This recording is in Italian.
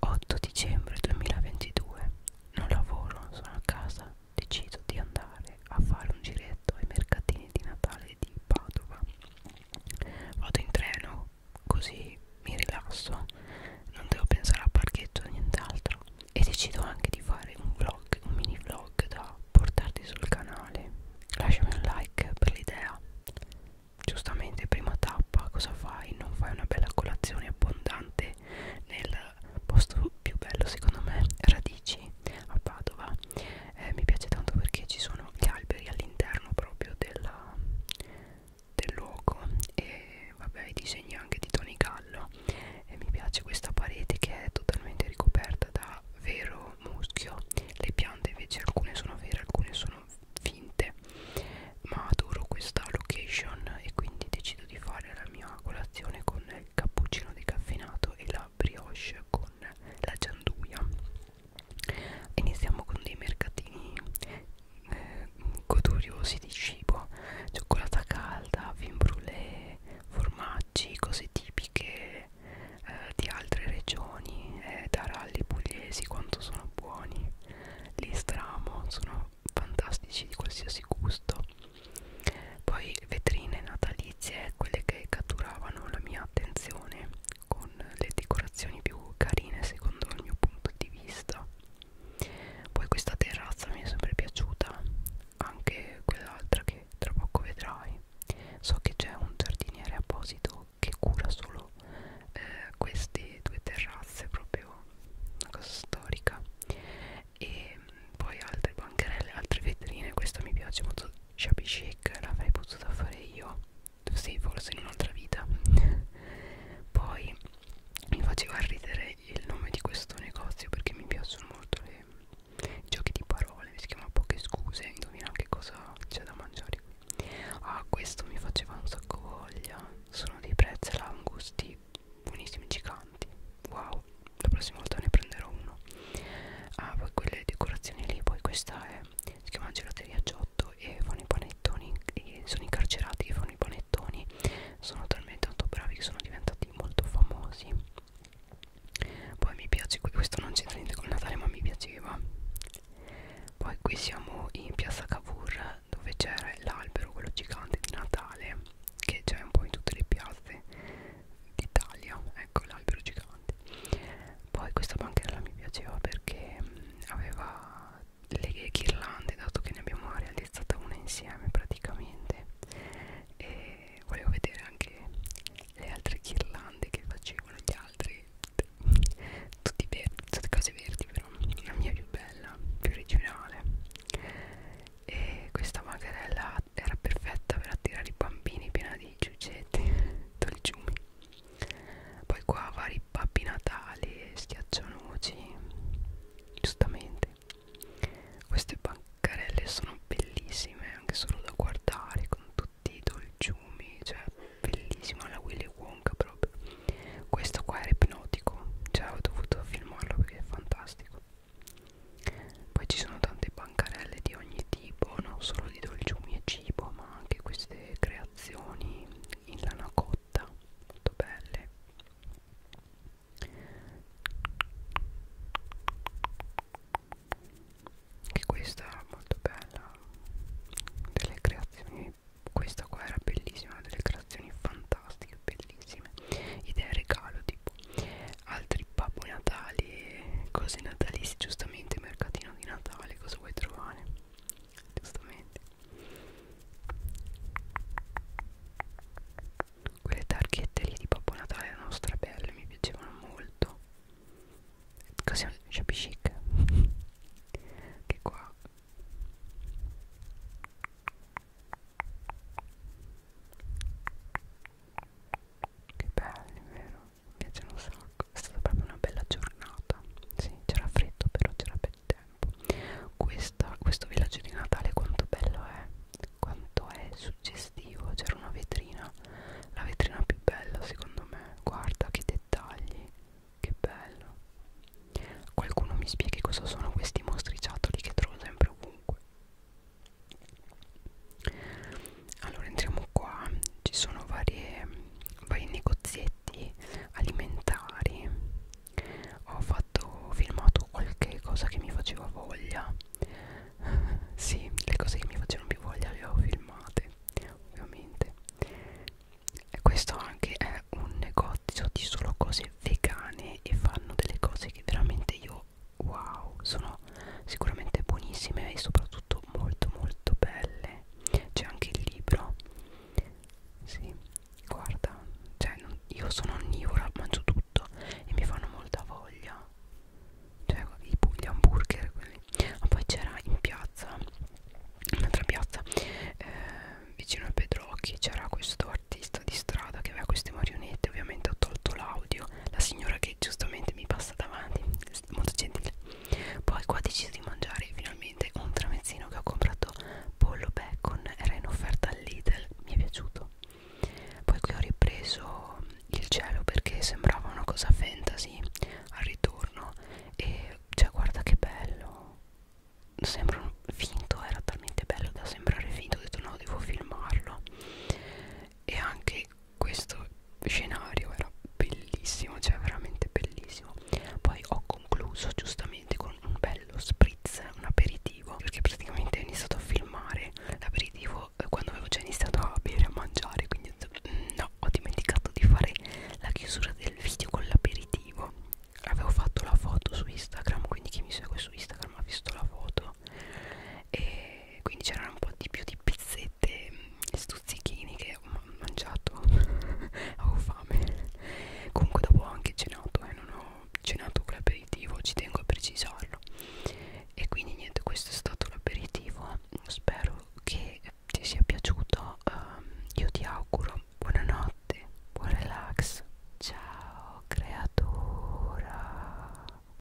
8 dicembre 2022 non lavoro, sono a casa decido di andare a fare un giretto ai mercatini di Natale di Padova vado in treno così mi rilasso non devo pensare al parchetto o nient'altro e decido anche di fare un vlog un mini vlog da portarti sul canale lasciami un like per l'idea giustamente prima tappa cosa fai? Non fai una bella colazione abbondante nel posto più bello secondo me, Radici a Padova. Eh, mi piace tanto perché ci sono gli alberi all'interno proprio della, del luogo e vabbè i disegni anche di Tony Gallo e mi piace questa parete che è totalmente ricoperta da vero muschio le piante invece alcune sono vere alcune sono sono finte ma adoro questa location e quindi decido di fare la mia colazione con il cappuccino decaffeinato e la brioche con la gianduia iniziamo con dei mercatini eh, goduriosi di cibo cioccolata calda, vin brûlée formaggi, cose tipiche eh, di altre regioni eh, da rally pugliesi quanto sono buoni li stramo sono fantastici di qualsiasi gusto poi vetrine natalizie quelle che catturavano la mia attenzione con le decorazioni più carine secondo il mio punto di vista poi questa terrazza mi è sempre piaciuta anche quell'altra che tra poco vedrai anni so che c'è un giardiniere apposito che cura solo eh, queste due terrazze proprio una cosa storica e mm, poi altre bancherelle altre vetrine questa mi piace molto shabby chic l'avrei potuta fare io sì forse in un'altra vita poi mi faceva ridere il nome di questo negozio perché mi piacciono molto le giochi di parole si chiama poche scuse indovina anche cosa c'è da mangiare qui ah questo mi faceva un sacco voglia sono dei prezzi angusti buonissimi giganti wow la prossima volta ne prenderò uno ah poi quelle decorazioni lì poi questa è si chiama gelateria Giotto e fanno i panettoni e sono incarcerati che fanno i panettoni sono talmente tanto bravi che sono diventati molto famosi poi mi piace qui questo non c'entra niente con Natale ma mi piaceva poi qui siamo in piazza Cavour dove c'era l'albero quello gigante di Natale che c'è un po' in tutte le piazze d'Italia ecco l'albero gigante poi questa bancherella mi piaceva perché mm, aveva le ghirlande dato che ne abbiamo realizzata una insieme praticamente e volevo vedere anche le altre ghirlande che facevano gli altri tutti verdi, tutte cose verdi però la mia è più bella, più originale e questa bancarella era perfetta per attirare i bambini piena di giugetti dolciumi poi qua vari babbi natali e schiaccianoci giustamente queste bancarelle sono bellissime anche solo da guardare con tutti i dolciumi, cioè bellissima la Willy Wonka proprio. Questo qua era ipnotico, cioè ho dovuto filmarlo perché è fantastico. Poi ci sono tante bancarelle di ogni tipo, non solo di dolciumi e cibo, ma anche queste creazioni in lana cotta molto belle che questa era molto bella delle creazioni questa qua era bellissima delle creazioni fantastiche bellissime idee regalo tipo altri babbo natali cose natalizie giustamente mercatino di natale cosa vuoi trovare giustamente quelle targhette lì di Babbo Natale erano strabelle mi piacevano molto così un shabby chic che qua che belli vero mi piacciono un sacco è stata proprio una bella giornata sì c'era freddo però c'era be tempo Questa, questo villaggio di Natale quanto bello è quanto è suggestivo c'era una vetrina la vetrina più bella secondo me guarda che dettagli che bello qualcuno mi spieghi cosa sono questi mostriciattoli che trovo sempre ovunque allora entriamo qua ci sono varie vai in negozietti alimentari ho fatto ho filmato qualche cosa che mi faceva voglia sì le cose che mi facevano più voglia le ho filmate ovviamente e questo anche è un negozio di solo cose vegane e fanno delle cose che veramente io wow sono sicuramente buonissime e soprattutto molto molto belle c'è anche il libro sì, guarda, cioè non, io sono onnivora, mangio tutto e mi fanno molta voglia. Cioè, i, gli hamburger, quelli. Ma poi c'era in piazza, in un'altra piazza, eh, vicino a Pedrocchi, c'era questo artista di strada che aveva queste marionette. Ovviamente ho tolto l'audio. La signora che giustamente mi passa davanti, molto gentile poi qua ho deciso di mangiare finalmente un tramezzino che ho comprato pollo bacon era in offerta al Lidl mi è piaciuto poi qui ho ripreso il cielo perché sembrava una cosa fantasy al ritorno e cioè guarda che bello sembra finto era talmente bello da sembrare finto ho detto no devo filmarlo e anche questo scenario era bellissimo cioè veramente bellissimo poi ho concluso giustamente con un bello spritz un aperitivo perché praticamente ho iniziato a filmare l'aperitivo eh, quando avevo già iniziato a bere a mangiare quindi mm, no ho dimenticato di fare la chiusura del video con l'aperitivo avevo fatto la foto su Instagram quindi chi mi segue su Instagram ha visto la foto e e quindi c'erano un po' di più di pizzette mm, stuzzichini che ho mangiato avevo fame comunque dopo ho anche cenato e eh, non ho cenato con l'aperitivo ci tengo a precisarlo e quindi niente questo è stato l'aperitivo spero che ti sia piaciuto um, io ti auguro buonanotte buon relax ciao creatura